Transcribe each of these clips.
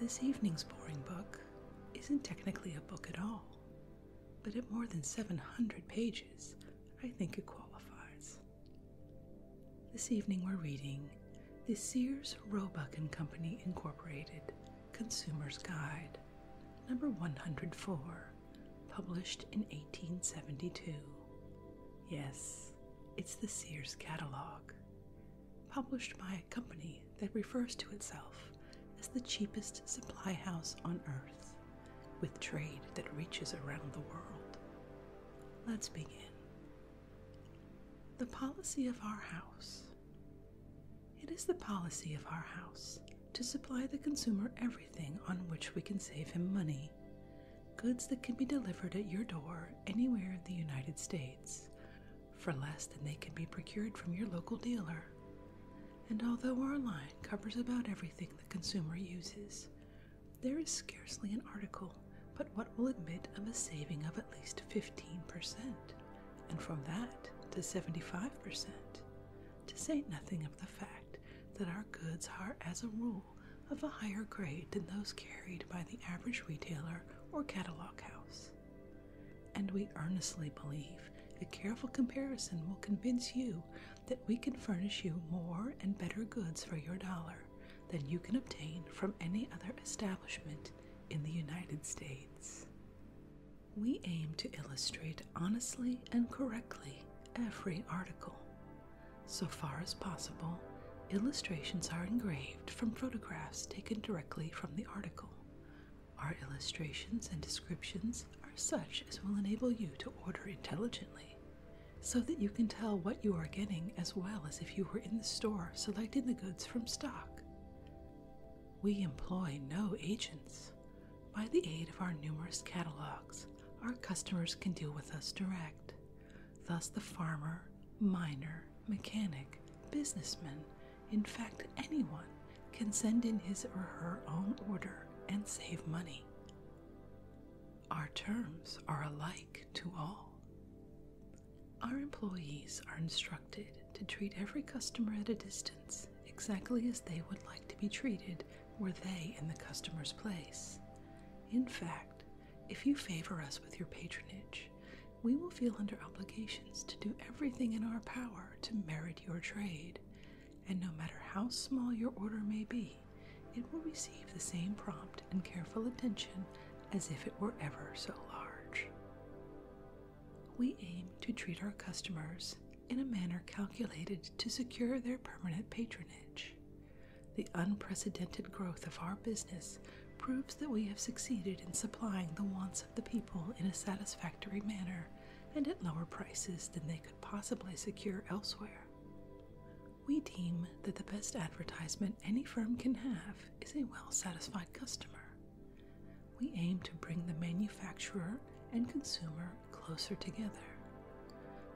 This evening's boring book isn't technically a book at all, but at more than 700 pages, I think it qualifies. This evening we're reading The Sears Roebuck and Company Incorporated Consumer's Guide, number 104, published in 1872. Yes, it's the Sears catalog published by a company that refers to itself as the cheapest supply house on earth, with trade that reaches around the world. Let's begin. The policy of our house. It is the policy of our house to supply the consumer everything on which we can save him money. Goods that can be delivered at your door anywhere in the United States for less than they can be procured from your local dealer. And although our line covers about everything the consumer uses, there is scarcely an article but what will admit of a saving of at least 15%, and from that to 75%, to say nothing of the fact that our goods are, as a rule, of a higher grade than those carried by the average retailer or catalog house. And we earnestly believe a careful comparison will convince you that we can furnish you more and better goods for your dollar than you can obtain from any other establishment in the United States. We aim to illustrate honestly and correctly every article. So far as possible, illustrations are engraved from photographs taken directly from the article. Our illustrations and descriptions are such as will enable you to order intelligently, so that you can tell what you are getting as well as if you were in the store selecting the goods from stock. We employ no agents. By the aid of our numerous catalogs, our customers can deal with us direct. Thus, the farmer, miner, mechanic, businessman, in fact, anyone can send in his or her own order and save money. Our terms are alike to all. Our employees are instructed to treat every customer at a distance exactly as they would like to be treated were they in the customer's place. In fact, if you favor us with your patronage, we will feel under obligations to do everything in our power to merit your trade, and no matter how small your order may be, it will receive the same prompt and careful attention as if it were ever so large. We aim to treat our customers in a manner calculated to secure their permanent patronage. The unprecedented growth of our business proves that we have succeeded in supplying the wants of the people in a satisfactory manner and at lower prices than they could possibly secure elsewhere. We deem that the best advertisement any firm can have is a well satisfied customer. We aim to bring the manufacturer and consumer closer together.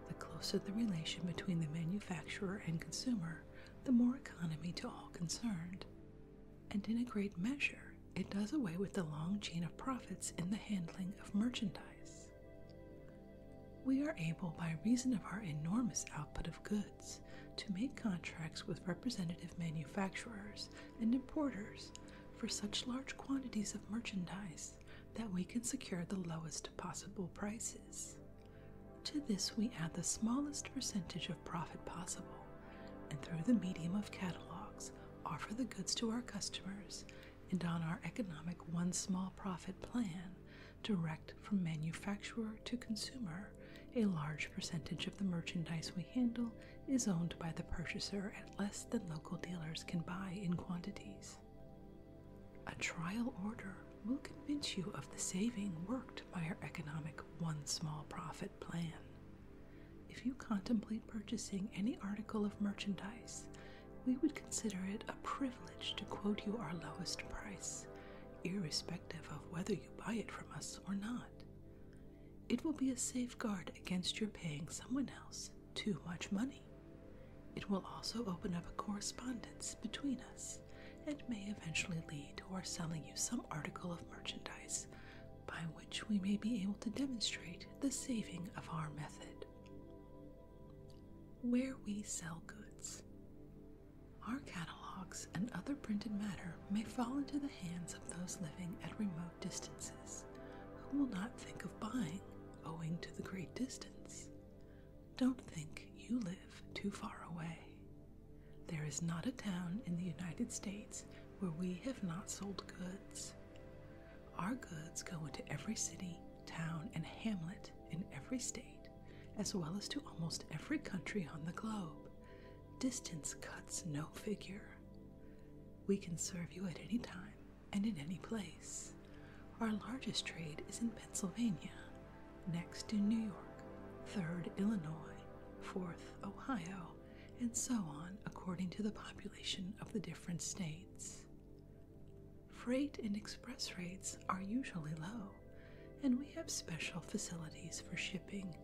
The closer the relation between the manufacturer and consumer, the more economy to all concerned, and in a great measure it does away with the long chain of profits in the handling of merchandise. We are able, by reason of our enormous output of goods, to make contracts with representative manufacturers and importers for such large quantities of merchandise that we can secure the lowest possible prices. To this, we add the smallest percentage of profit possible, and through the medium of catalogs, offer the goods to our customers, and on our economic one small profit plan, direct from manufacturer to consumer, a large percentage of the merchandise we handle is owned by the purchaser at less than local dealers can buy in quantities. A trial order will convince you of the saving worked by her economic one small profit plan. If you contemplate purchasing any article of merchandise, we would consider it a privilege to quote you our lowest price, irrespective of whether you buy it from us or not. It will be a safeguard against your paying someone else too much money. It will also open up a correspondence between us and may eventually lead to our selling you some article of merchandise by which we may be able to demonstrate the saving of our method. Where we sell goods. Our catalogs and other printed matter may fall into the hands of those living at remote distances who will not think of buying owing to the great distance. Don't think you live too far away. There is not a town in the United States where we have not sold goods. Our goods go into every city, town, and hamlet in every state, as well as to almost every country on the globe. Distance cuts no figure. We can serve you at any time and in any place. Our largest trade is in Pennsylvania, next in New York, third Illinois, fourth Ohio, and so on according to the population of the different states. Freight and express rates are usually low, and we have special facilities for shipping,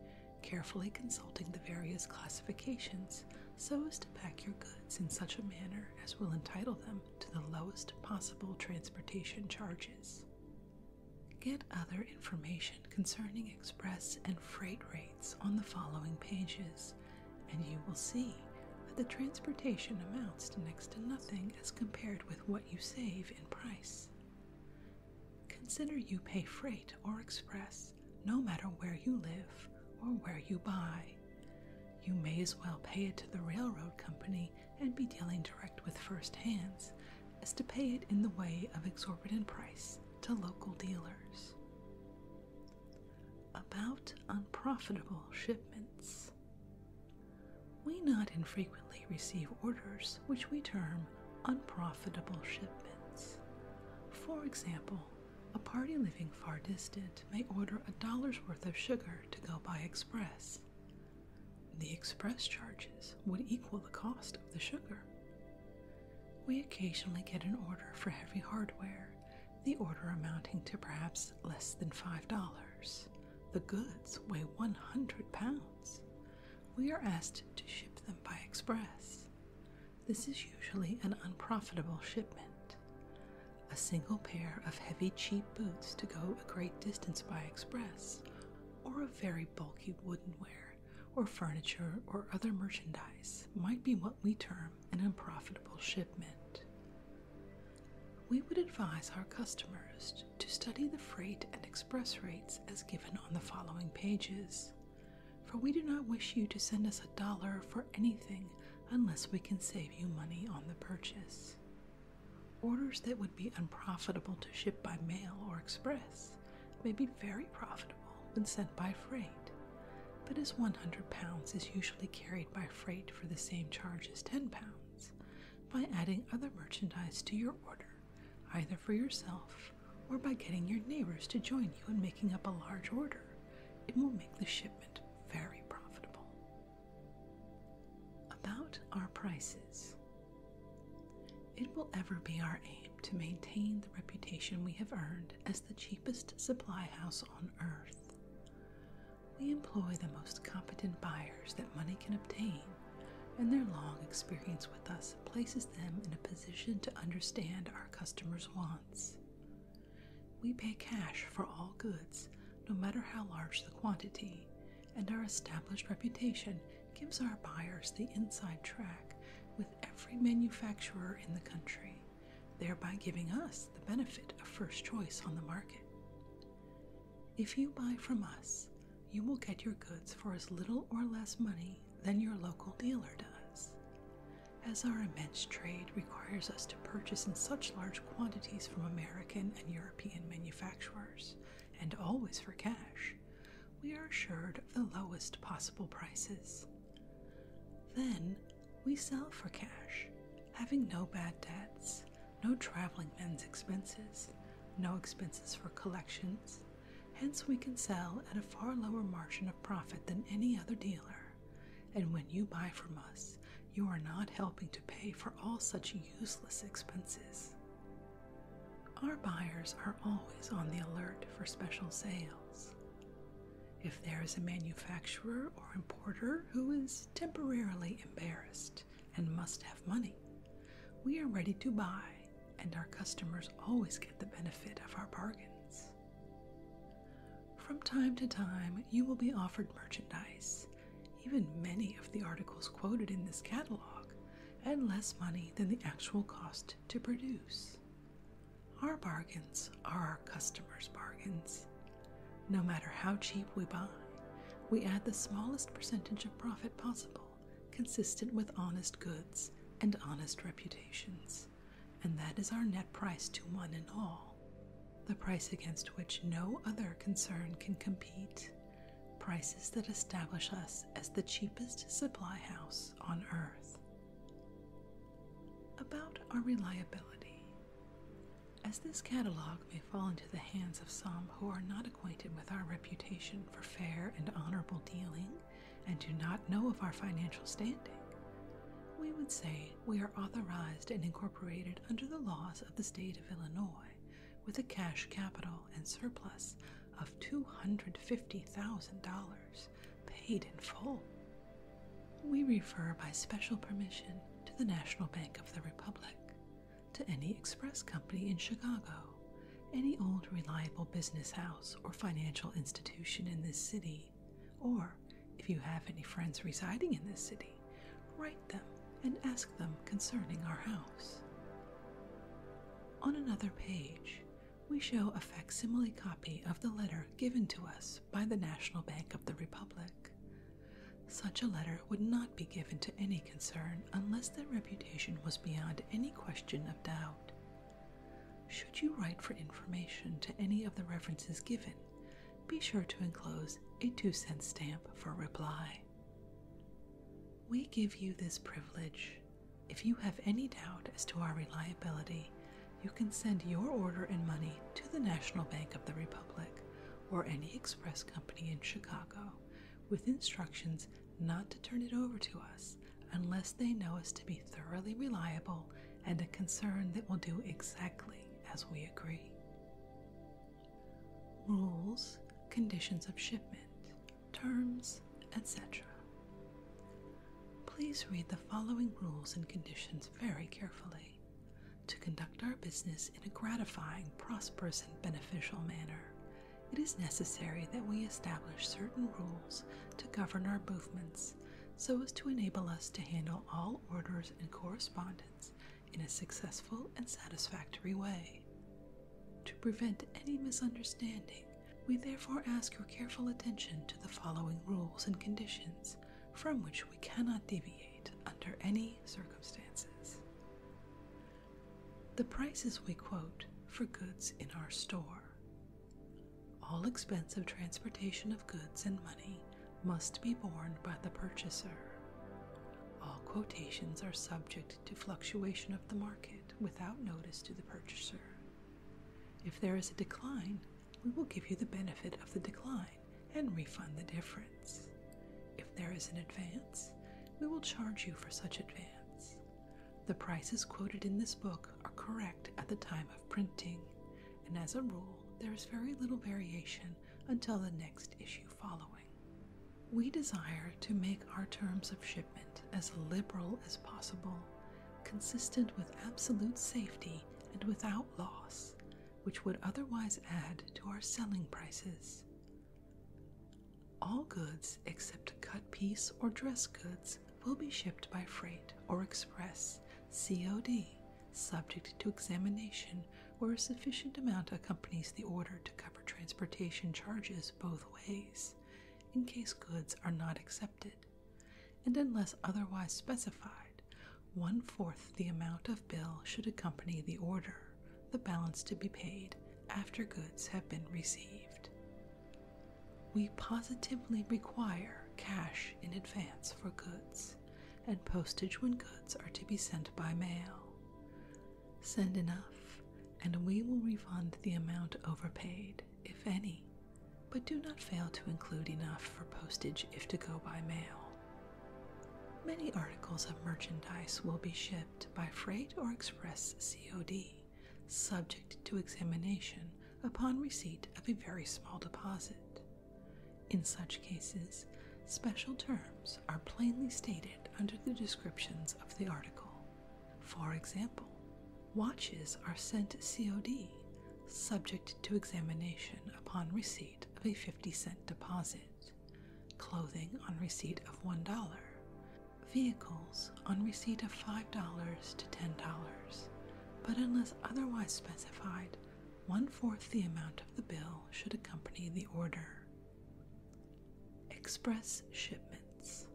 carefully consulting the various classifications so as to pack your goods in such a manner as will entitle them to the lowest possible transportation charges. Get other information concerning express and freight rates on the following pages, and you will see that the transportation amounts to next to nothing as compared with what you save in price. Consider you pay freight or express no matter where you live or where you buy. You may as well pay it to the railroad company and be dealing direct with first hands is to pay it in the way of exorbitant price to local dealers. About unprofitable shipments. We not infrequently receive orders which we term unprofitable shipments. For example, a party living far distant may order a dollar's worth of sugar to go by express, the express charges would equal the cost of the sugar. We occasionally get an order for heavy hardware, the order amounting to perhaps less than $5. The goods weigh 100 pounds. We are asked to ship them by express. This is usually an unprofitable shipment. A single pair of heavy, cheap boots to go a great distance by express, or a very bulky woodenware or furniture or other merchandise might be what we term an unprofitable shipment. We would advise our customers to study the freight and express rates as given on the following pages, for we do not wish you to send us a dollar for anything unless we can save you money on the purchase. Orders that would be unprofitable to ship by mail or express may be very profitable when sent by freight, but as 100 pounds is usually carried by freight for the same charge as 10 pounds, by adding other merchandise to your order, either for yourself or by getting your neighbors to join you in making up a large order, it will make the shipment very profitable. About our prices. It will ever be our aim to maintain the reputation we have earned as the cheapest supply house on earth. We employ the most competent buyers that money can obtain, and their long experience with us places them in a position to understand our customers' wants. We pay cash for all goods, no matter how large the quantity, and our established reputation gives our buyers the inside track with every manufacturer in the country, thereby giving us the benefit of first choice on the market. If you buy from us, you will get your goods for as little or less money than your local dealer does. As our immense trade requires us to purchase in such large quantities from American and European manufacturers, and always for cash, we are assured of the lowest possible prices. Then we sell for cash, having no bad debts, no traveling men's expenses, no expenses for collections. Hence, we can sell at a far lower margin of profit than any other dealer. And when you buy from us, you are not helping to pay for all such useless expenses. Our buyers are always on the alert for special sales. If there is a manufacturer or importer who is temporarily embarrassed and must have money, we are ready to buy, and our customers always get the benefit of our bargains. From time to time, you will be offered merchandise, even many of the articles quoted in this catalog, at less money than the actual cost to produce. Our bargains are our customers' bargains. No matter how cheap we buy, we add the smallest percentage of profit possible, consistent with honest goods and honest reputations, and that is our net price to one and all, the price against which no other concern can compete, prices that establish us as the cheapest supply house on earth. About our reliability. As this catalog may fall into the hands of some who are not acquainted with our reputation for fair and honorable dealing and do not know of our financial standing, we would say we are authorized and incorporated under the laws of the state of Illinois with a cash capital and surplus of $250,000 paid in full. We refer by special permission to the National Bank of the Republic, to any express company in Chicago, any old reliable business house or financial institution in this city, or if you have any friends residing in this city, write them and ask them concerning our house. On another page, we show a facsimile copy of the letter given to us by the National Bank of the Republic. Such a letter would not be given to any concern unless their reputation was beyond any question of doubt. Should you write for information to any of the references given, be sure to enclose a two cent stamp for reply. We give you this privilege if you have any doubt as to our reliability, you can send your order and money to the National Bank of the Republic or any express company in Chicago with instructions not to turn it over to us unless they know us to be thoroughly reliable and a concern that will do exactly as we agree. Rules, conditions of shipment, terms, etc. Please read the following rules and conditions very carefully to conduct our business in a gratifying, prosperous, and beneficial manner. It is necessary that we establish certain rules to govern our movements so as to enable us to handle all orders and correspondence in a successful and satisfactory way. To prevent any misunderstanding, we therefore ask your careful attention to the following rules and conditions from which we cannot deviate under any circumstances. The prices we quote for goods in our store. All expense of transportation of goods and money must be borne by the purchaser. All quotations are subject to fluctuation of the market without notice to the purchaser if there is a decline, we will give you the benefit of the decline and refund the difference. If there is an advance, we will charge you for such advance. The prices quoted in this book are correct at the time of printing, and as a rule, there is very little variation until the next issue following. We desire to make our terms of shipment as liberal as possible consistent with absolute safety and without loss, which would otherwise add to our selling prices. All goods except cut piece or dress goods will be shipped by freight or express COD, subject to examination where a sufficient amount accompanies the order to cover transportation charges both ways, in case goods are not accepted, and unless otherwise specified, one fourth the amount of bill should accompany the order, the balance to be paid after goods have been received. We positively require cash in advance for goods and postage when goods are to be sent by mail. Send enough, and we will refund the amount overpaid if any, but do not fail to include enough for postage if to go by mail. Many articles of merchandise will be shipped by freight or express COD, subject to examination upon receipt of a very small deposit. In such cases, special terms are plainly stated under the descriptions of the article. For example, Watches are sent COD, subject to examination upon receipt of a 50 cent deposit, clothing on receipt of $1, vehicles on receipt of $5 to $10, but unless otherwise specified, one fourth the amount of the bill should accompany the order. Express shipments.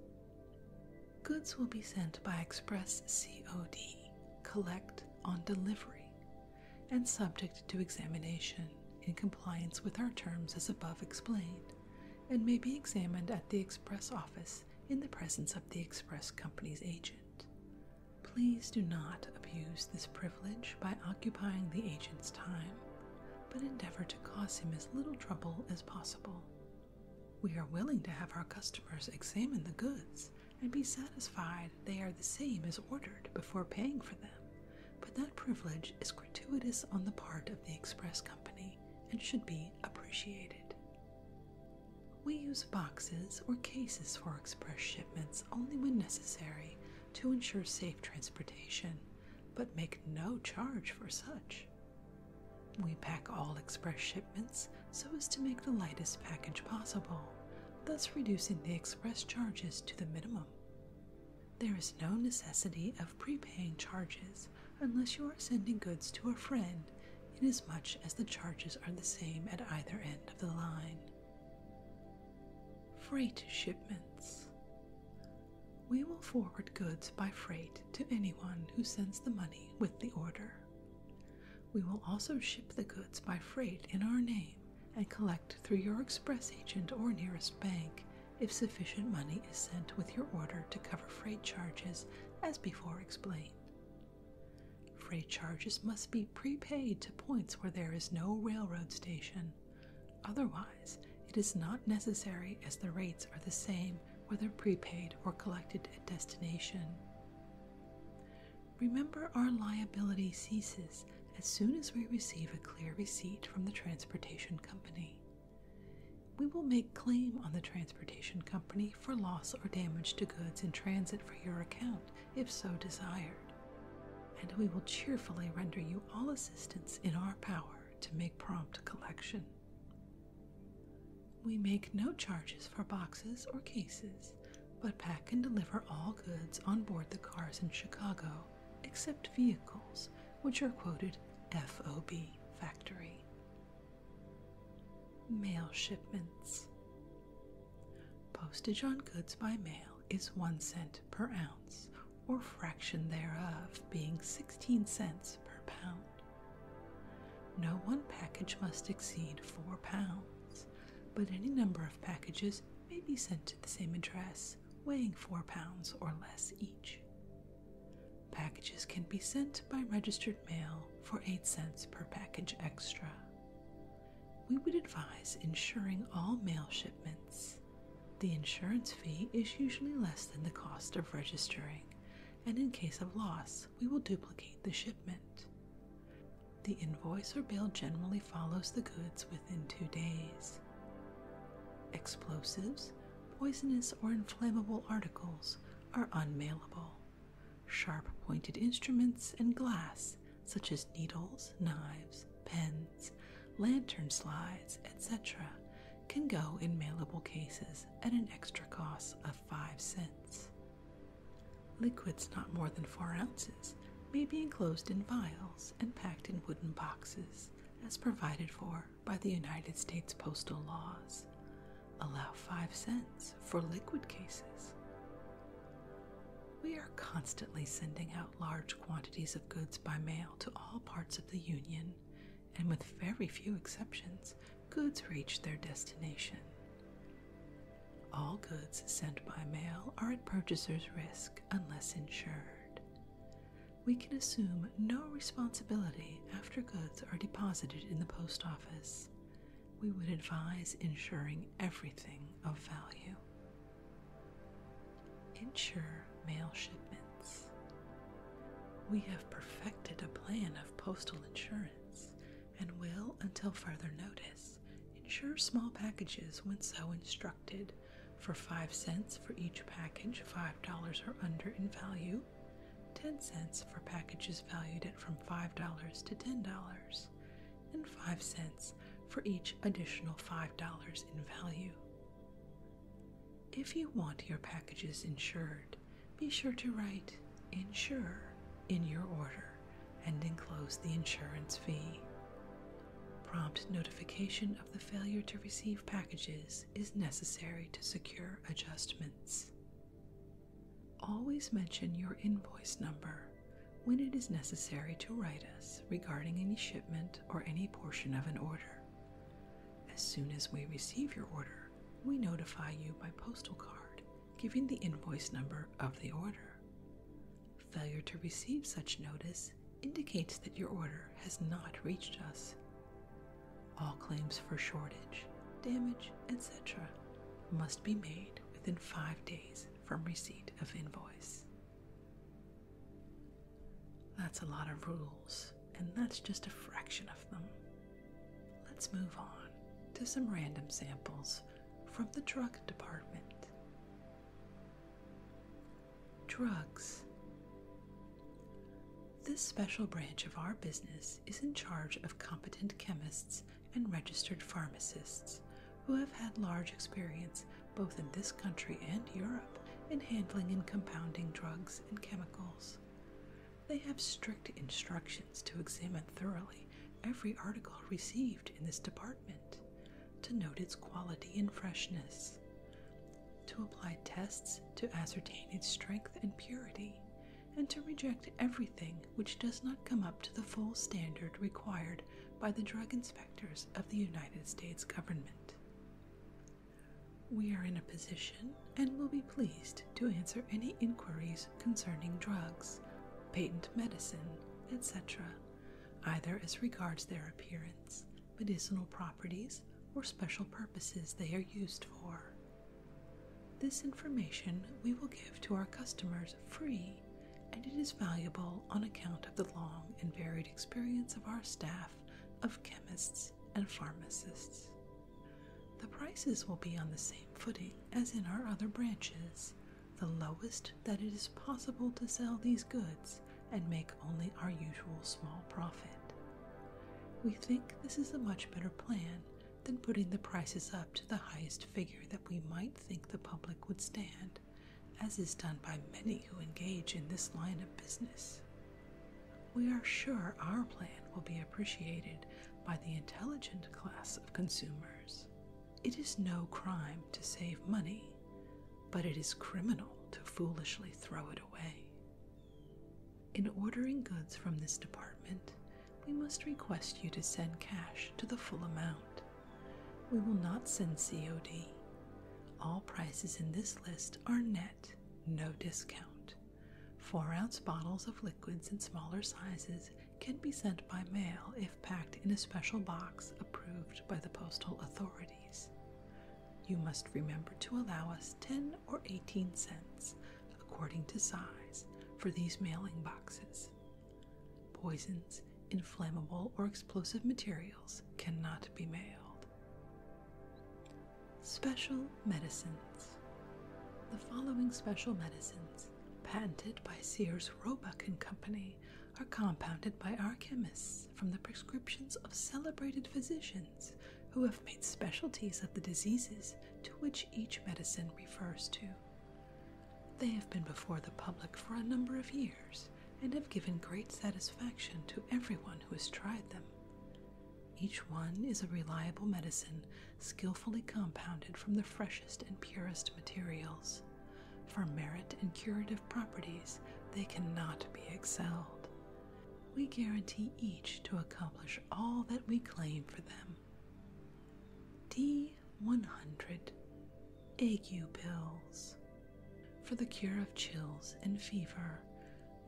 Goods will be sent by express COD, collect on delivery, and subject to examination in compliance with our terms as above explained, and may be examined at the express office in the presence of the express company's agent. Please do not abuse this privilege by occupying the agent's time, but endeavor to cause him as little trouble as possible. We are willing to have our customers examine the goods and be satisfied they are the same as ordered before paying for them, but that privilege is gratuitous on the part of the express company and should be appreciated. We use boxes or cases for express shipments only when necessary to ensure safe transportation, but make no charge for such. We pack all express shipments so as to make the lightest package possible, thus reducing the express charges to the minimum. There is no necessity of prepaying charges unless you are sending goods to a friend, inasmuch as the charges are the same at either end of the line. Freight shipments. We will forward goods by freight donate to anyone who sends the money with the order. We will also ship the goods by freight in our name and collect through your express agent or nearest bank if sufficient money is sent with your order to cover freight charges as before explained. Freight charges must be prepaid to points where there is no railroad station. Otherwise, it is not necessary as the rates are the same whether prepaid or collected at destination. Remember, our liability ceases as soon as we receive a clear receipt from the transportation company. We will make claim on the transportation company for loss or damage to goods in transit for your account if so desired, and we will cheerfully render you all assistance in our power to make prompt collection. We make no charges for boxes or cases, but pack and deliver all goods on board the cars in Chicago, except vehicles, which are quoted FOB factory. Mail shipments. Postage on goods by mail is 1 cent per ounce, or fraction thereof being 16 cents per pound. No one package must exceed 4 pounds, but any number of packages may be sent to the same address, weighing 4 pounds or less each. Packages can be sent by registered mail for 8 cents per package extra. We would advise insuring all mail shipments. The insurance fee is usually less than the cost of registering, and in case of loss, we will duplicate the shipment. The invoice or bill generally follows the goods within two days. Explosives, poisonous or inflammable articles are unmailable. Sharp pointed instruments and glass, such as needles, knives, pens, lantern slides, etc., can go in mailable cases at an extra cost of. 5 cents. Liquids not more than 4 ounces may be enclosed in vials and packed in wooden boxes as provided for by the United States postal laws. Allow 5 cents for liquid cases. We are constantly sending out large quantities of goods by mail to all parts of the Union and with very few exceptions, goods reach their destination. All goods sent by mail are at purchaser's risk unless insured. We can assume no responsibility after goods are deposited in the post office. We would advise insuring everything of value. Insure mail shipments. We have perfected a plan of postal insurance and will, until further notice, insure small packages when so instructed for 5 cents for each package $5 or under in value, 10 cents for packages valued at from $5 to $10, and 5 cents for each additional $5 in value. If you want your packages insured, be sure to write insure in your order and enclose the insurance fee. Prompt notification of the failure to receive packages is necessary to secure adjustments. Always mention your invoice number when it is necessary to write us regarding any shipment or any portion of an order. As soon as we receive your order, we notify you by postal card, giving the invoice number of the order. Failure to receive such notice indicates that your order has not reached us. All claims for shortage, damage, etc. must be made within five days from receipt of invoice. That's a lot of rules, and that's just a fraction of them. Let's move on to some random samples from the drug department. Drugs. This special branch of our business is in charge of competent chemists and registered pharmacists who have had large experience both in this country and Europe in handling and compounding drugs and chemicals. They have strict instructions to examine thoroughly every article received in this department, to note its quality and freshness, to apply tests to ascertain its strength and purity, and to reject everything which does not come up to the full standard required by the drug inspectors of the United States government. We are in a position and will be pleased to answer any inquiries concerning drugs, patent medicine, etc., either as regards their appearance, medicinal properties, or special purposes they are used for. This information we will give to our customers free, and it is valuable on account of the long and varied experience of our staff of chemists and pharmacists. The prices will be on the same footing as in our other branches, the lowest that it is possible to sell these goods and make only our usual small profit. We think this is a much better plan than putting the prices up to the highest figure that we might think the public would stand, as is done by many who engage in this line of business we are sure our plan will be appreciated by the intelligent class of consumers. It is no crime to save money, but it is criminal to foolishly throw it away. In ordering goods from this department, we must request you to send cash to the full amount. We will not send COD. All prices in this list are net, no discount. Four ounce bottles of liquids and smaller sizes can be sent by mail if packed in a special box approved by the postal authorities. You must remember to allow us 10 or 18 cents, according to size, for these mailing boxes. Poisons, inflammable, or explosive materials cannot be mailed. Special medicines. The following special medicines, patented by Sears Roebuck and Company, are compounded by our chemists from the prescriptions of celebrated physicians who have made specialties of the diseases to which each medicine refers to. They have been before the public for a number of years and have given great satisfaction to everyone who has tried them. Each one is a reliable medicine skillfully compounded from the freshest and purest materials. For merit and curative properties, they cannot be excelled. We guarantee each to accomplish all that we claim for them. D100 Ague Pills. For the cure of chills and fever,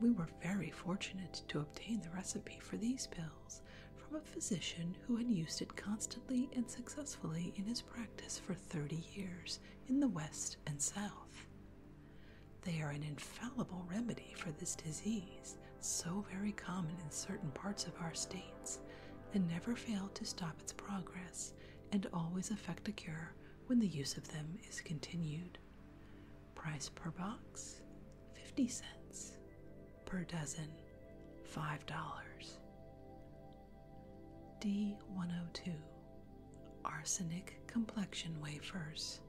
we were very fortunate to obtain the recipe for these pills from a physician who had used it constantly and successfully in his practice for 30 years in the West and South. They are an infallible remedy for this disease, so very common in certain parts of our states, and never fail to stop its progress and always effect a cure when the use of them is continued. Price per box 50 cents per dozen, $5. D102 Arsenic Complexion Wafers.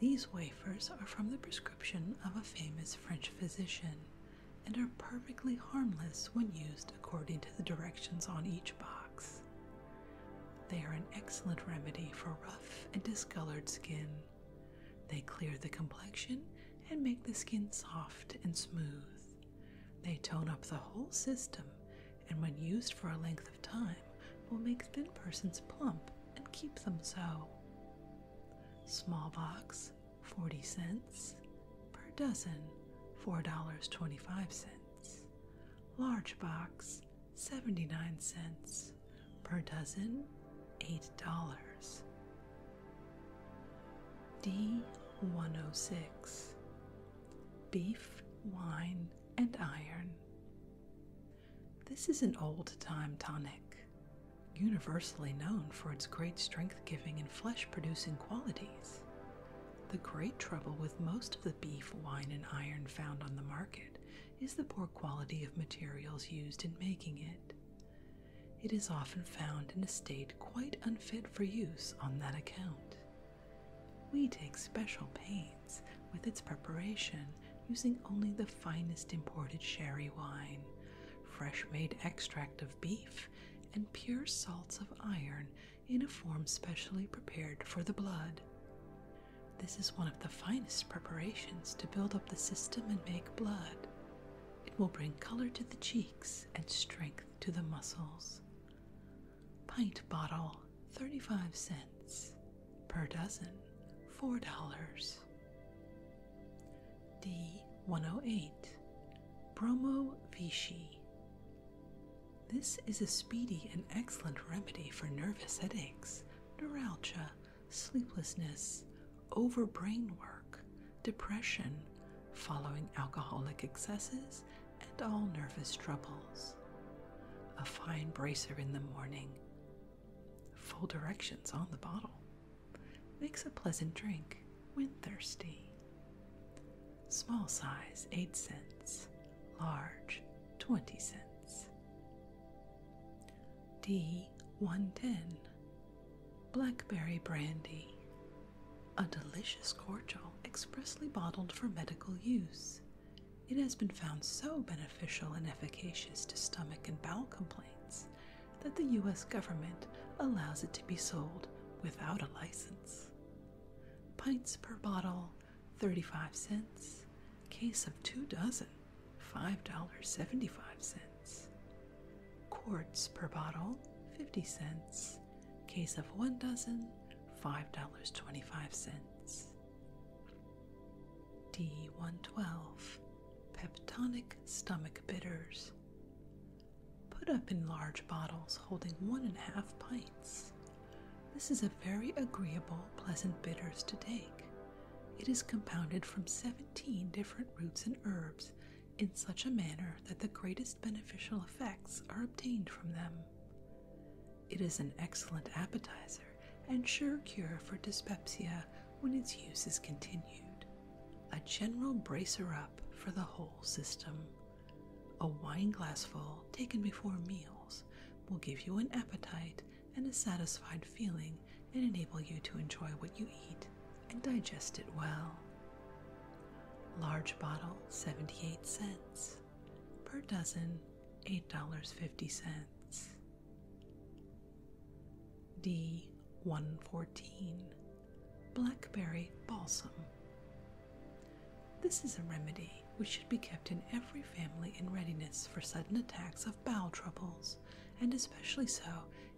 These wafers are from the prescription of a famous French physician and are perfectly harmless when used according to the directions on each box. They are an excellent remedy for rough and discolored skin they clear the complexion and make the skin soft and smooth. They tone up the whole system and, when used for a length of time, will make thin persons plump and keep them so. Small box, 40 cents. Per dozen, $4.25. Large box, 79 cents per dozen $8. D106 Beef, Wine, and Iron. This is an old time tonic, universally known for its great strength giving and flesh producing qualities. The great trouble with most of the beef, wine, and iron found on the market is the poor quality of materials used in making it. It is often found in a state quite unfit for use on that account. We take special pains with its preparation using only the finest imported sherry wine, fresh made extract of beef, and pure salts of iron in a form specially prepared for the blood. This is one of the finest preparations to build up the system and make blood. It will bring color to the cheeks and strength to the muscles. Pint bottle, 35 cents. Per dozen, $4. D108 Bromo Vichy. This is a speedy and excellent remedy for nervous headaches, neuralgia, sleeplessness, over brain work, depression, following alcoholic excesses, and all nervous troubles. A fine bracer in the morning. Full directions on the bottle. Makes a pleasant drink when thirsty. Small size, 8 cents. Large, 20 cents. D110 Blackberry Brandy, a delicious cordial expressly bottled for medical use. It has been found so beneficial and efficacious to stomach and bowel complaints that the US government allows it to be sold without a license. Pints per bottle, 35 cents, case of two dozen. $5.75. Quarts per bottle, 50 cents. Case of one dozen, $5.25. D112 Peptonic Stomach Bitters. Put up in large bottles holding one and a half pints. This is a very agreeable, pleasant bitters to take. It is compounded from seven different roots and herbs in such a manner that the greatest beneficial effects are obtained from them. It is an excellent appetizer and sure cure for dyspepsia when its use is continued. A general bracer up for the whole system. A wineglassful taken before meals will give you an appetite and a satisfied feeling and enable you to enjoy what you eat and digest it well. Large bottle, 78 cents. Per dozen, $8.50. D114 Blackberry Balsam. This is a remedy which should be kept in every family in readiness for sudden attacks of bowel troubles, and especially so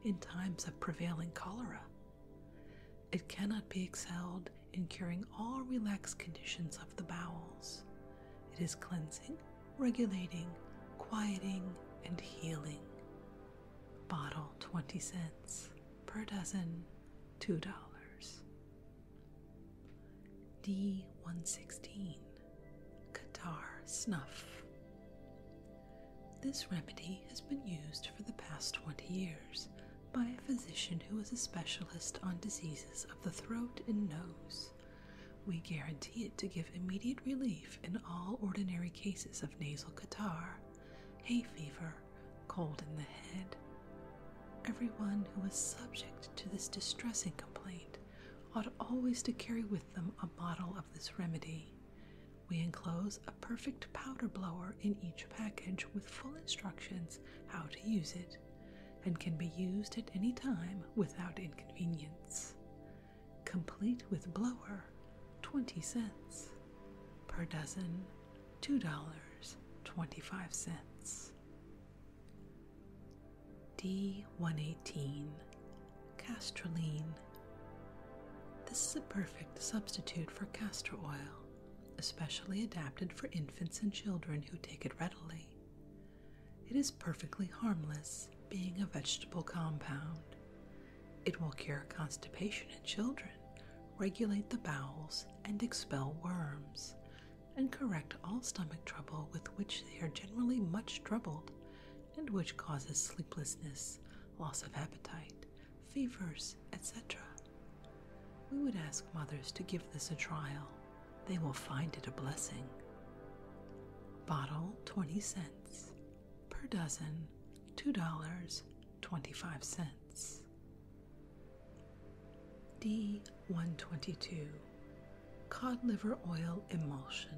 in times of prevailing cholera. It cannot be excelled in curing all relaxed conditions of the bowels. It is cleansing, regulating, quieting, and healing. Bottle 20 cents, per dozen $2. D116 Qatar snuff. This remedy has been used for the past 20 years by a physician who is a specialist on diseases of the throat and nose. We guarantee it to give immediate relief in all ordinary cases of nasal catarrh, hay fever, cold in the head. Everyone who is subject to this distressing complaint ought always to carry with them a bottle of this remedy. We enclose a perfect powder blower in each package with full instructions how to use it and can be used at any time without inconvenience. Complete with blower, 20 cents. Per dozen, $2.25. D118 Castroline. This is a perfect substitute for castor oil, especially adapted for infants and children who take it readily. It is perfectly harmless, being a vegetable compound. It will cure constipation in children, regulate the bowels, and expel worms, and correct all stomach trouble with which they are generally much troubled, and which causes sleeplessness, loss of appetite, fevers, etc. We would ask mothers to give this a trial. They will find it a blessing. Bottle 20 cents. Per dozen, $2.25. D122 Cod Liver Oil Emulsion.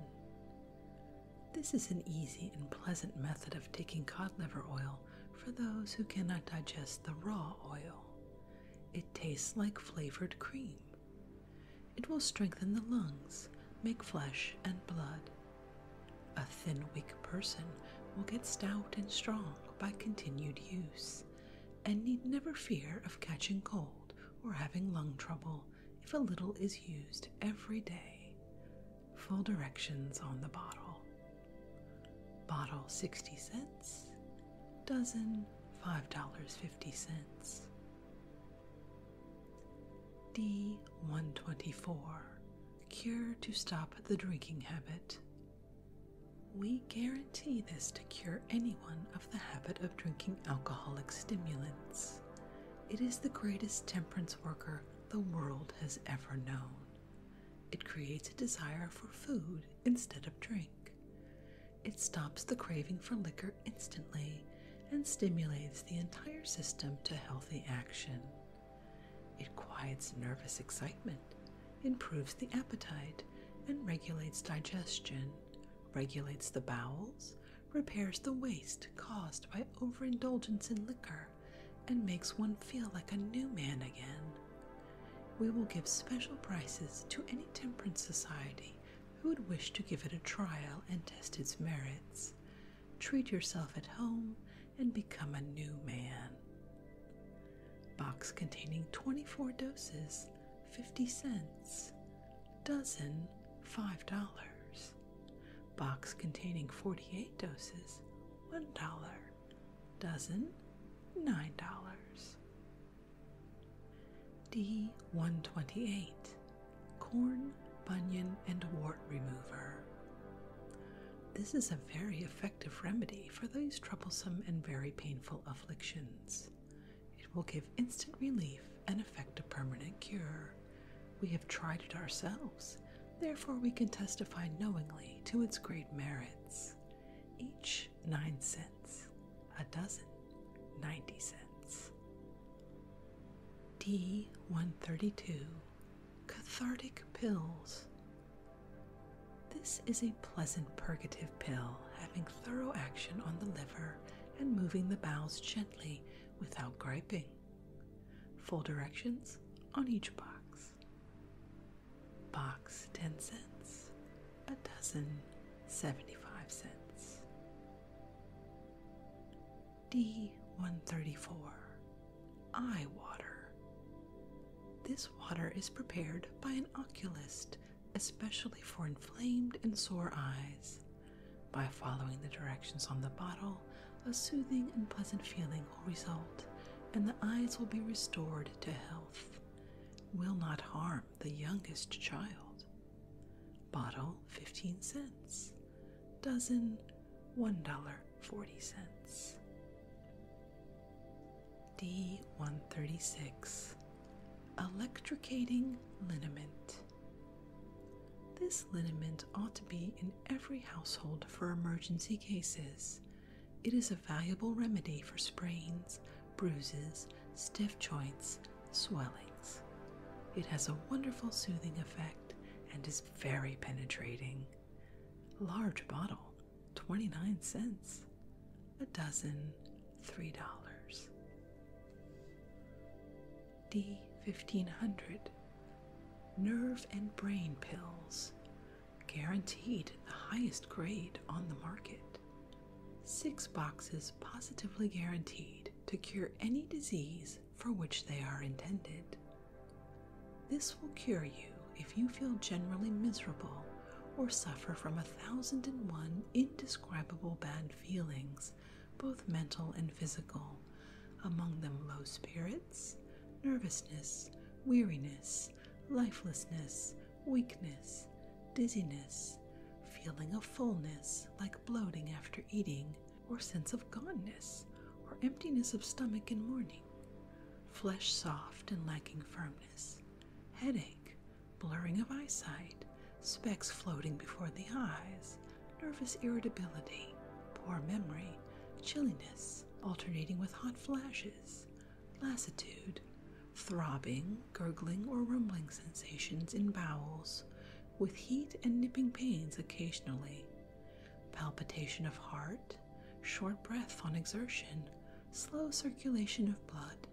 This is an easy and pleasant method of taking cod liver oil for those who cannot digest the raw oil. It tastes like flavored cream. It will strengthen the lungs, make flesh and blood. A thin, weak person will get stout and strong by continued use and need never fear of catching cold or having lung trouble if a little is used every day. Full directions on the bottle. Bottle 60 cents, dozen $5.50. D124 Cure to Stop the Drinking Habit. We guarantee this to cure anyone of the habit of drinking alcoholic stimulants. It is the greatest temperance worker the world has ever known. It creates a desire for food instead of drink. It stops the craving for liquor instantly and stimulates the entire system to healthy action. It quiets nervous excitement, improves the appetite, and regulates digestion, regulates the bowels, repairs the waste caused by overindulgence in liquor, and makes one feel like a new man again. We will give special prices to any temperance society who would wish to give it a trial and test its merits. Treat yourself at home and become a new man. Box containing 24 doses, 50 cents. Dozen, $5. Box containing 48 doses, $1. Dozen, $9. D128 Corn, Bunion, and Wart Remover. This is a very effective remedy for these troublesome and very painful afflictions. It will give instant relief and effect a permanent cure. We have tried it ourselves, therefore, we can testify knowingly to its great merits. Each nine cents, a dozen, ninety cents. D 132 Cathartic Pills. This is a pleasant purgative pill having thorough action on the liver and moving the bowels gently without griping. Full directions on each box. Box 10 cents, a dozen 75 cents. D134 Eye Water. This water is prepared by an oculist especially for inflamed and sore eyes. By following the directions on the bottle, a soothing and pleasant feeling will result, and the eyes will be restored to health. Will not harm the youngest child. Bottle 15 cents. Dozen $1.40. D136 Electricating Liniment. This liniment ought to be in every household for emergency cases. It is a valuable remedy for sprains, bruises, stiff joints, swellings. It has a wonderful soothing effect and is very penetrating. Large bottle, 29 cents. A dozen, $3. D1500 nerve and brain pills, guaranteed the highest grade on the market. Six boxes positively guaranteed to cure any disease for which they are intended. This will cure you if you feel generally miserable or suffer from a thousand and one indescribable bad feelings both mental and physical, among them low spirits, nervousness, weariness, lifelessness, weakness, dizziness, feeling of fullness like bloating after eating, or sense of goneness or emptiness of stomach in morning, flesh soft and lacking firmness, headache, blurring of eyesight, specks floating before the eyes, nervous irritability, poor memory, chilliness, alternating with hot flashes, lassitude, throbbing, gurgling, or rumbling sensations in bowels, with heat and nipping pains occasionally, palpitation of heart, short breath on exertion, slow circulation of blood,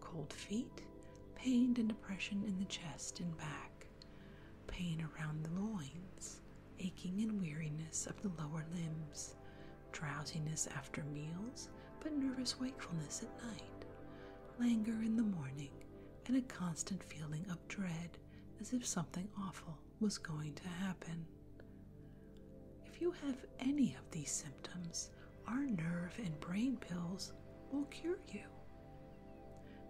cold feet, pain and depression in the chest and back pain around the loins, aching and weariness of the lower limbs, drowsiness after meals, but nervous wakefulness at night, languor in the morning, and a constant feeling of dread as if something awful was going to happen. If you have any of these symptoms, our nerve and brain pills will cure you.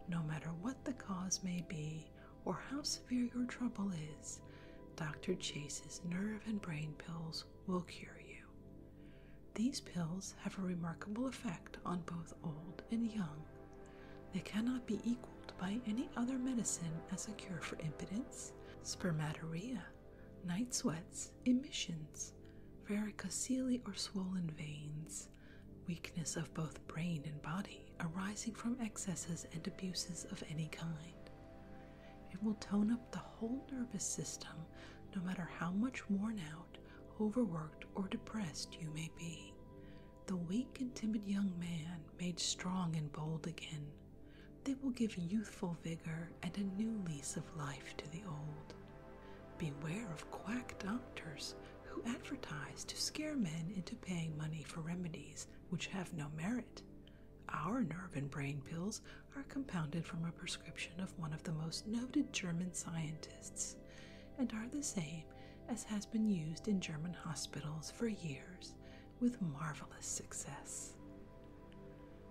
No matter what the cause may be, or how severe your trouble is, Dr. Chase's nerve and brain pills will cure you. These pills have a remarkable effect on both old and young. They cannot be equaled by any other medicine as a cure for impotence, spermatorrhea, night sweats, emissions, varicose or swollen veins, weakness of both brain and body arising from excesses and abuses of any kind. It will tone up the whole nervous system no matter how much worn out, overworked, or depressed you may be. The weak and timid young man made strong and bold again. They will give youthful vigor and a new lease of life to the old. Beware of quack doctors who advertise to scare men into paying money for remedies which have no merit. Our nerve and brain pills are compounded from a prescription of one of the most noted German scientists and are the same as has been used in German hospitals for years with marvelous success.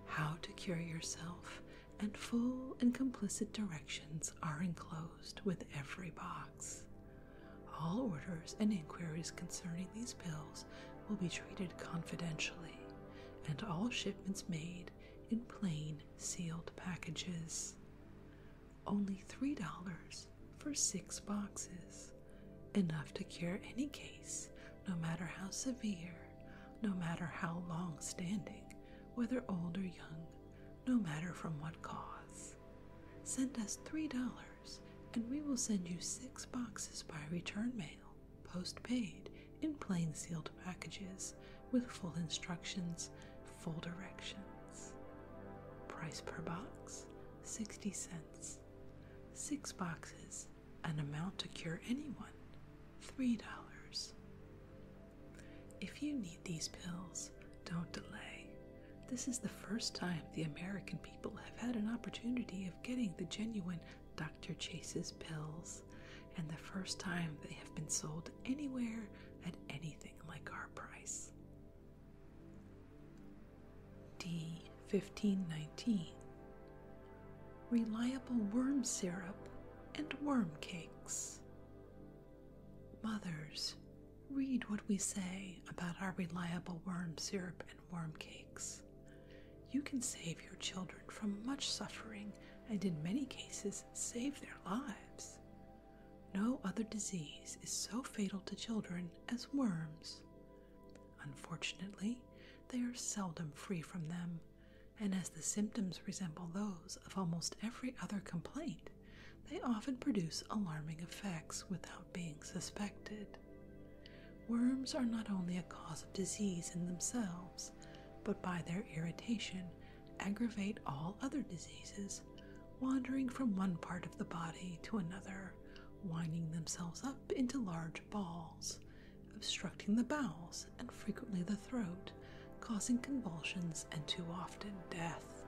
How to cure yourself and full and complicit directions are enclosed with every box. All orders and inquiries concerning these bills will be treated confidentially, and all shipments made in plain sealed packages. Only $3 for six boxes, enough to cure any case, no matter how severe, no matter how long standing, whether old or young, no matter from what cause. Send us $3 and we will send you six boxes by return mail, postpaid, in plain sealed packages with full instructions, full directions. Price per box 60 cents. Six boxes, an amount to cure anyone $3. If you need these pills, don't delay. This is the first time the American people have had an opportunity of getting the genuine Dr. Chase's pills, and the first time they have been sold anywhere at anything like our price. D. 1519 Reliable worm syrup and worm cakes. Mothers, read what we say about our reliable worm syrup and worm cakes. You can save your children from much suffering and, in many cases, save their lives. No other disease is so fatal to children as worms. Unfortunately, they are seldom free from them, and as the symptoms resemble those of almost every other complaint, they often produce alarming effects without being suspected. Worms are not only a cause of disease in themselves, but by their irritation aggravate all other diseases, wandering from one part of the body to another, winding themselves up into large balls, obstructing the bowels and frequently the throat, causing convulsions and too often death.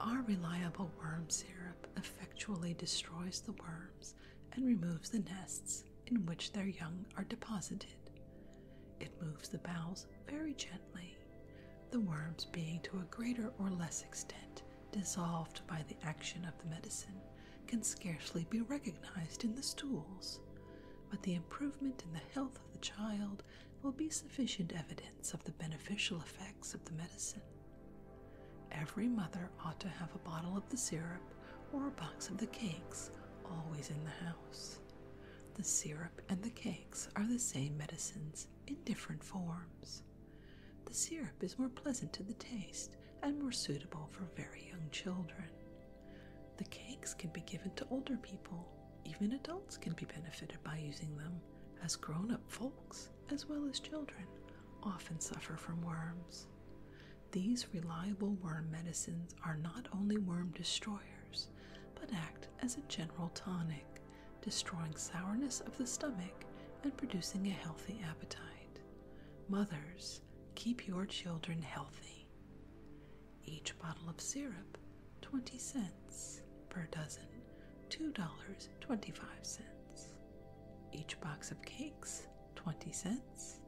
Our reliable worm syrup effectually destroys the worms and removes the nests in which their young are deposited. It moves the bowels very gently, the worms being to a greater or less extent dissolved by the action of the medicine can scarcely be recognized in the stools. But the improvement in the health of the child will be sufficient evidence of the beneficial effects of the medicine. Every mother ought to have a bottle of the syrup or a box of the cakes always in the house. The syrup and the cakes are the same medicines in different forms. The syrup is more pleasant to the taste and more suitable for very young children. The cakes can be given to older people even adults can be benefited by using them, as grown up folks, as well as children, often suffer from worms. These reliable worm medicines are not only worm destroyers, but act as a general tonic, destroying sourness of the stomach and producing a healthy appetite. Mothers, keep your children healthy. Each bottle of syrup 20 cents per dozen, $2.25. Each box of cakes, 20 cents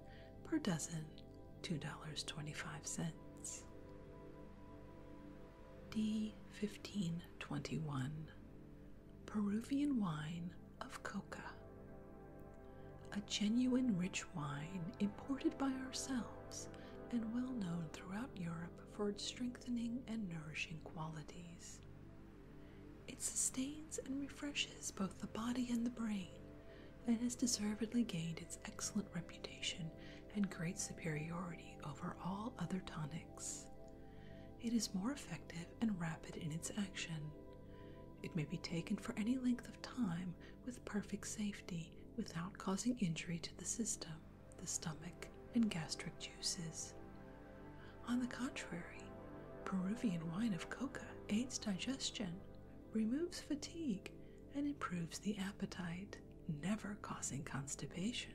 per dozen, $2.25. D 1521 Peruvian wine of coca. A genuine rich wine imported by ourselves and well known throughout Europe for its strengthening and nourishing qualities. It sustains and refreshes both the body and the brain, and has deservedly gained its excellent reputation and great superiority over all other tonics. It is more effective and rapid in its action. It may be taken for any length of time with perfect safety without causing injury to the system the stomach, and gastric juices. On the contrary, Peruvian wine of coca aids digestion, removes fatigue, and improves the appetite, never causing constipation.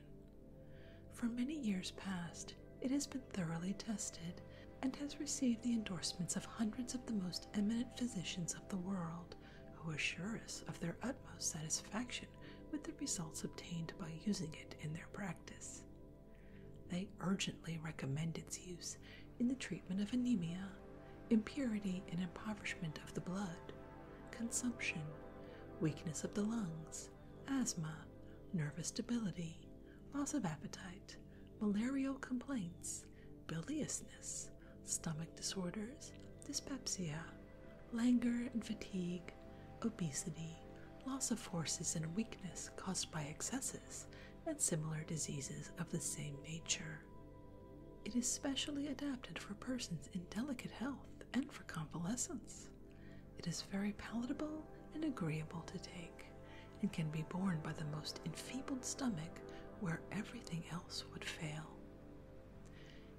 For many years past, it has been thoroughly tested and has received the endorsements of hundreds of the most eminent physicians of the world, who assure us of their utmost satisfaction with the results obtained by using it in their practice. They urgently recommend its use in the treatment of anemia, impurity and impoverishment of the blood, consumption, weakness of the lungs, asthma, nervous debility, loss of appetite, malarial complaints, biliousness, stomach disorders, dyspepsia, languor and fatigue, obesity, loss of forces, and weakness caused by excesses, and similar diseases of the same nature. It is specially adapted for persons in delicate health and for convalescence. It is very palatable and agreeable to take, and can be borne by the most enfeebled stomach where everything else would fail.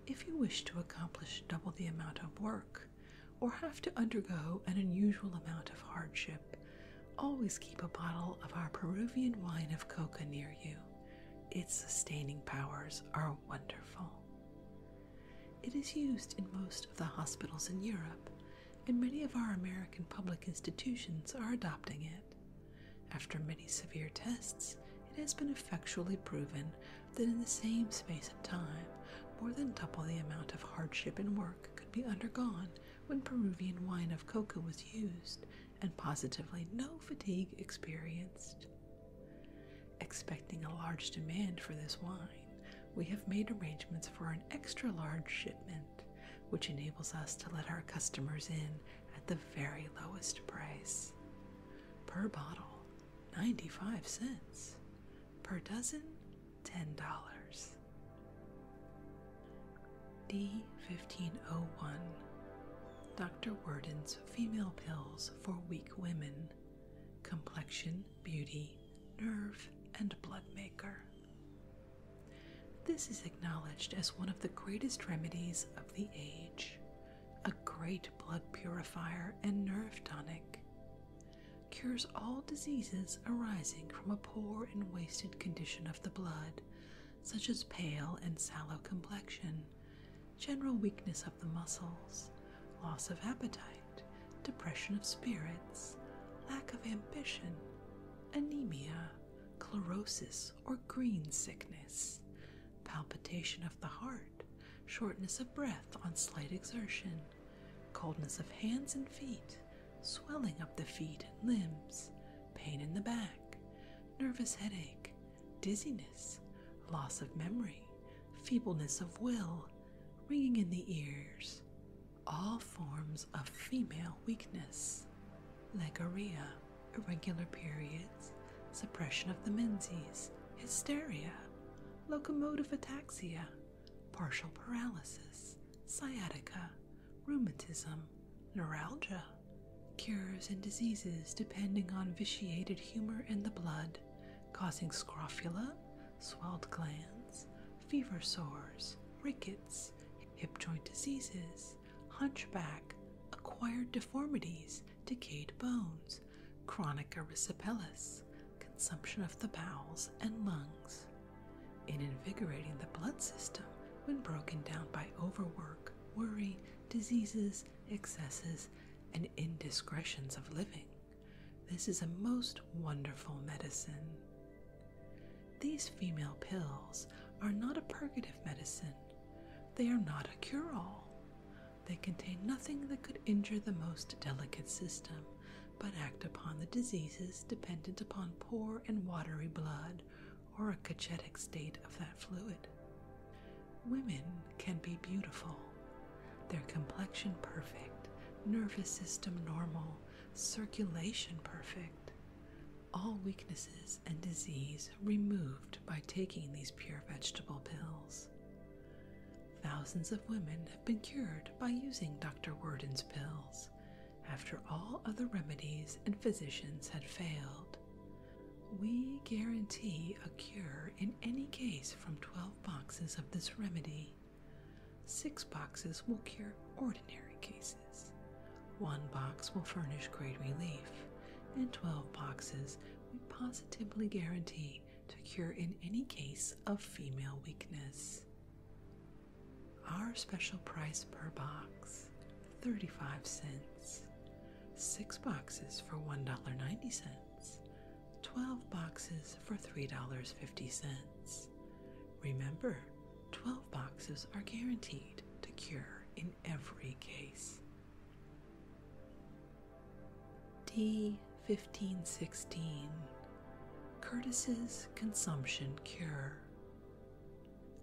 If you wish to accomplish double the amount of work, or have to undergo an unusual amount of hardship, always keep a bottle of our Peruvian wine of coca near you. Its sustaining powers are wonderful. It is used in most of the hospitals in Europe, and many of our American public institutions are adopting it. After many severe tests, it has been effectually proven that in the same space of time, more than double the amount of hardship and work could be undergone when Peruvian wine of coca was used, and positively no fatigue experienced. Expecting a large demand for this wine, we have made arrangements for an extra large shipment, which enables us to let our customers in at the very lowest price. Per bottle, 95 cents. Per dozen, $10. D1501 Dr. Worden's Female Pills for Weak Women Complexion, Beauty, Nerve, and Blood Maker. This is acknowledged as one of the greatest remedies of the age, a great blood purifier and nerve tonic, cures all diseases arising from a poor and wasted condition of the blood, such as pale and sallow complexion, general weakness of the muscles, loss of appetite, depression of spirits, lack of ambition, anemia, chlorosis or green sickness, palpitation of the heart, shortness of breath on slight exertion, coldness of hands and feet, swelling up the feet and limbs, pain in the back, nervous headache, dizziness, loss of memory, feebleness of will, ringing in the ears, all forms of female weakness, legoria, irregular periods, suppression of the menses, hysteria, locomotive ataxia, partial paralysis, sciatica, rheumatism, neuralgia, cures and diseases depending on vitiated humor in the blood, causing scrofula, swelled glands, fever sores, rickets, hip joint diseases, hunchback, acquired deformities, decayed bones, chronic erysipelas, consumption of the bowels and lungs, in invigorating the blood system when broken down by overwork, worry, diseases, excesses, and indiscretions of living. This is a most wonderful medicine. These female pills are not a purgative medicine. They are not a cure all, they contain nothing that could injure the most delicate system, but act upon the diseases dependent upon poor and watery blood or a cachetic state of that fluid. Women can be beautiful, their complexion perfect, nervous system normal, circulation perfect, all weaknesses and disease removed by taking these pure vegetable pills. Thousands of women have been cured by using Dr. Worden's pills after all other remedies and physicians had failed. We guarantee a cure in any case from 12 boxes of this remedy. Six boxes will cure ordinary cases. One box will furnish great relief, and 12 boxes we positively guarantee to cure in any case of female weakness. Our special price per box 35 cents. 6 boxes for $1.90, 12 boxes for $3.50. Remember, 12 boxes are guaranteed to cure in every case. D1516 Curtis's Consumption Cure.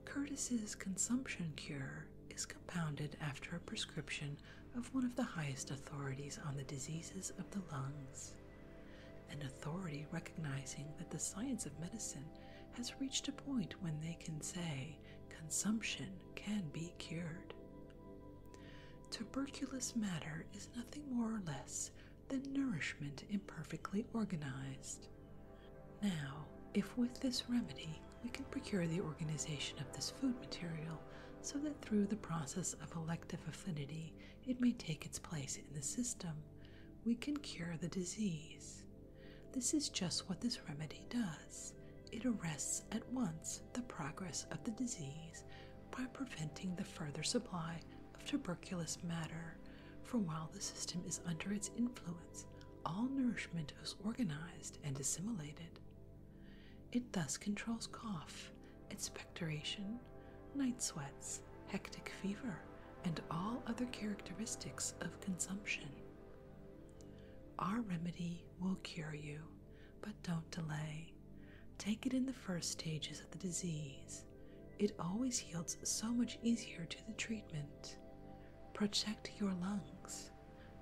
Curtis's Consumption Cure is compounded after a prescription of one of the highest authorities on the diseases of the lungs, an authority recognizing that the science of medicine has reached a point when they can say consumption can be cured. Tuberculous matter is nothing more or less than nourishment imperfectly organized. Now, if with this remedy we can procure the organization of this food material so that through the process of elective affinity it may take its place in the system, we can cure the disease. This is just what this remedy does. It arrests at once the progress of the disease by preventing the further supply of tuberculous matter, for while the system is under its influence, all nourishment is organized and assimilated. It thus controls cough, expectoration, night sweats, hectic fever, and all other characteristics of consumption. Our remedy will cure you, but don't delay. Take it in the first stages of the disease. It always yields so much easier to the treatment. Protect your lungs.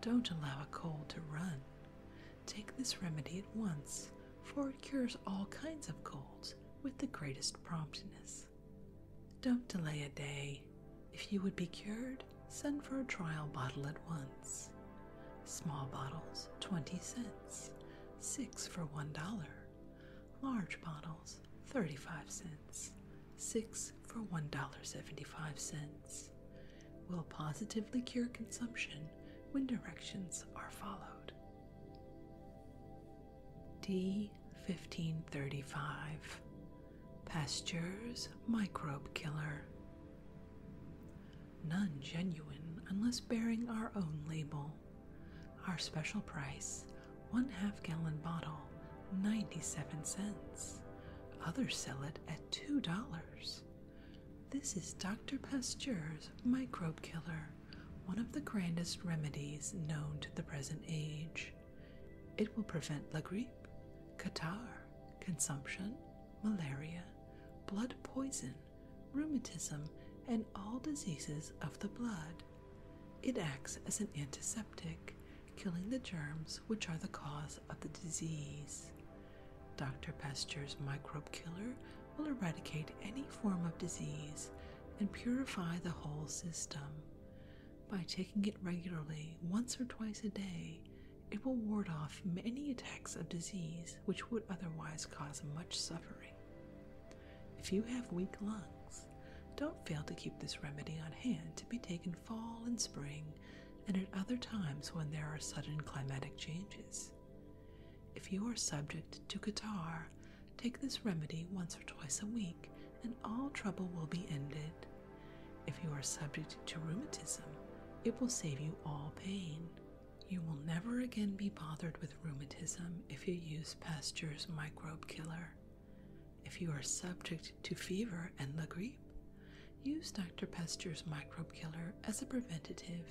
Don't allow a cold to run. Take this remedy at once, for it cures all kinds of colds with the greatest promptness. Don't delay a day. If you would be cured, send for a trial bottle at once. Small bottles, 20 cents, 6 for $1. Large bottles, 35 cents, 6 for $1.75. Will positively cure consumption when directions are followed. D 1535 Pasteure's Microbe Killer None genuine unless bearing our own label. Our special price, one half gallon bottle, 97 cents. Others sell it at $2. This is Dr. Pasteur's Microbe Killer, one of the grandest remedies known to the present age. It will prevent la grippe, catarrh, consumption, malaria, blood poison, rheumatism, and all diseases of the blood. It acts as an antiseptic, killing the germs which are the cause of the disease. Dr. Pester's microbe killer will eradicate any form of disease and purify the whole system. By taking it regularly, once or twice a day, it will ward off many attacks of disease which would otherwise cause much suffering. If you have weak lungs, don't fail to keep this remedy on hand to be taken fall and spring and at other times when there are sudden climatic changes. If you are subject to catarrh, take this remedy once or twice a week and all trouble will be ended. If you are subject to rheumatism, it will save you all pain. You will never again be bothered with rheumatism if you use Pasteur's microbe killer. If you are subject to fever and the grippe, use Dr. Pasteur's microbe killer as a preventative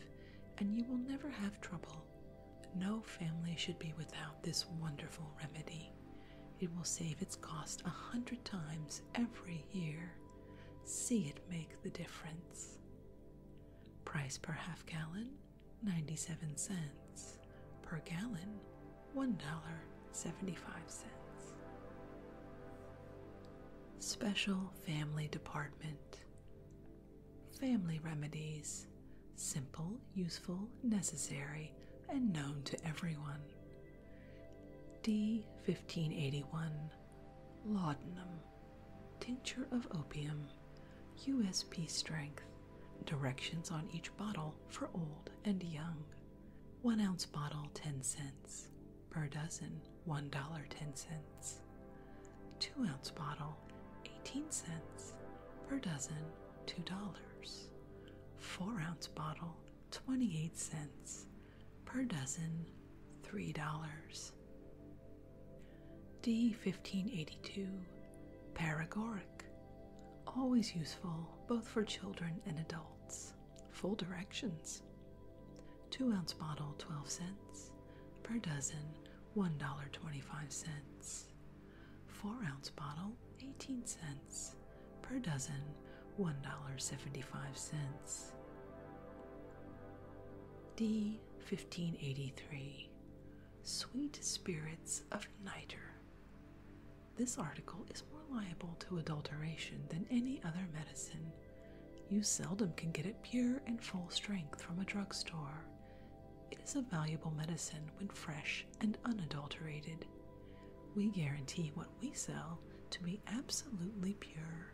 and you will never have trouble. No family should be without this wonderful remedy. It will save its cost a hundred times every year. See it make the difference. Price per half gallon 97 cents. Per gallon $1.75. Special Family Department Family Remedies Simple, useful, necessary, and known to everyone. D1581 Laudanum Tincture of opium, USP strength. Directions on each bottle for old and young. One ounce bottle, 10 cents. Per dozen, $1.10. Two ounce bottle, 18 cents. Per dozen, $2. Four ounce bottle, 28 cents. Per dozen, $3. D1582 Paragoric. Always useful both for children and adults. Full directions. 2 ounce bottle, 12 cents. Per dozen, $1.25. 4 ounce bottle, 18 cents. Per dozen, $1.75. D 1583 Sweet Spirits of Nitre. This article is more liable to adulteration than any other medicine. You seldom can get it pure and full strength from a drug store. It is a valuable medicine when fresh and unadulterated. We guarantee what we sell to be absolutely pure,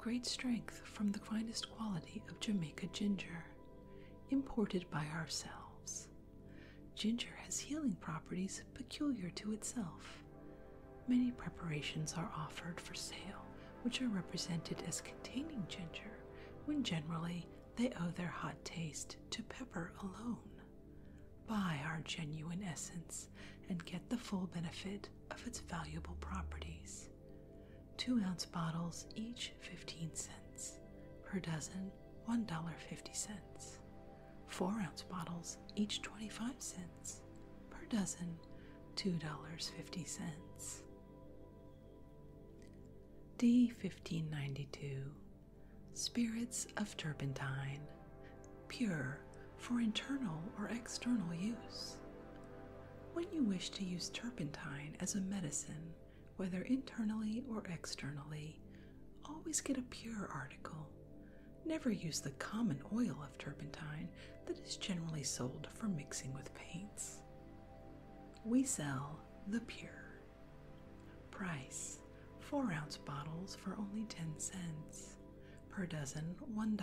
great strength from the finest quality of Jamaica ginger, imported by ourselves. Ginger has healing properties peculiar to itself. Many preparations are offered for sale, which are represented as containing ginger, when generally they owe their hot taste to pepper alone. Buy our genuine essence and get the full benefit of its valuable properties. 2 ounce bottles, each 15 cents. Per dozen, $1.50. 4 ounce bottles, each 25 cents. Per dozen, $2.50. D 1592 Spirits of Turpentine Pure for internal or external use. When you wish to use turpentine as a medicine, whether internally or externally, always get a pure article. Never use the common oil of turpentine that is generally sold for mixing with paints. We sell the pure. Price 4 ounce bottles for only 10 cents. Per dozen, $1.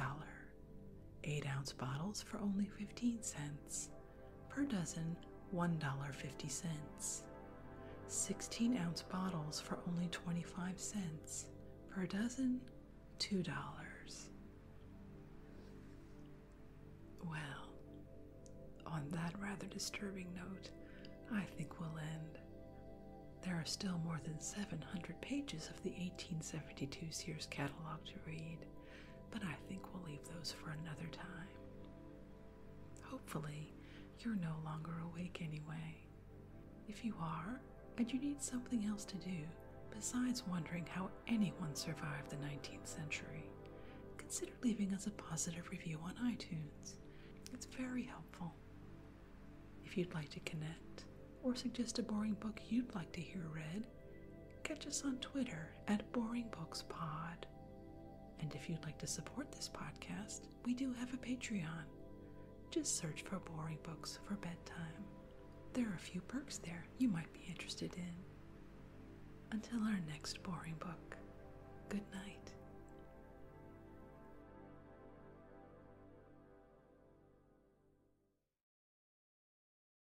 8 ounce bottles for only 15 cents per dozen $1.50. 16 ounce bottles for only 25 cents, per dozen $2. Well, on that rather disturbing note, I think we'll end. There are still more than 700 pages of the 1872 Sears catalog to read, but I think we'll leave those for another time. Hopefully, you're no longer awake anyway. If you are, and you need something else to do besides wondering how anyone survived the 19th century, consider leaving us a positive review on iTunes. It's very helpful. If you'd like to connect or suggest a boring book you'd like to hear read, Catch us on Twitter at Boring Books Pod. And if you'd like to support this podcast, we do have a Patreon. Just search for Boring Books for Bedtime. There are a few perks there you might be interested in. Until our next boring book, good night.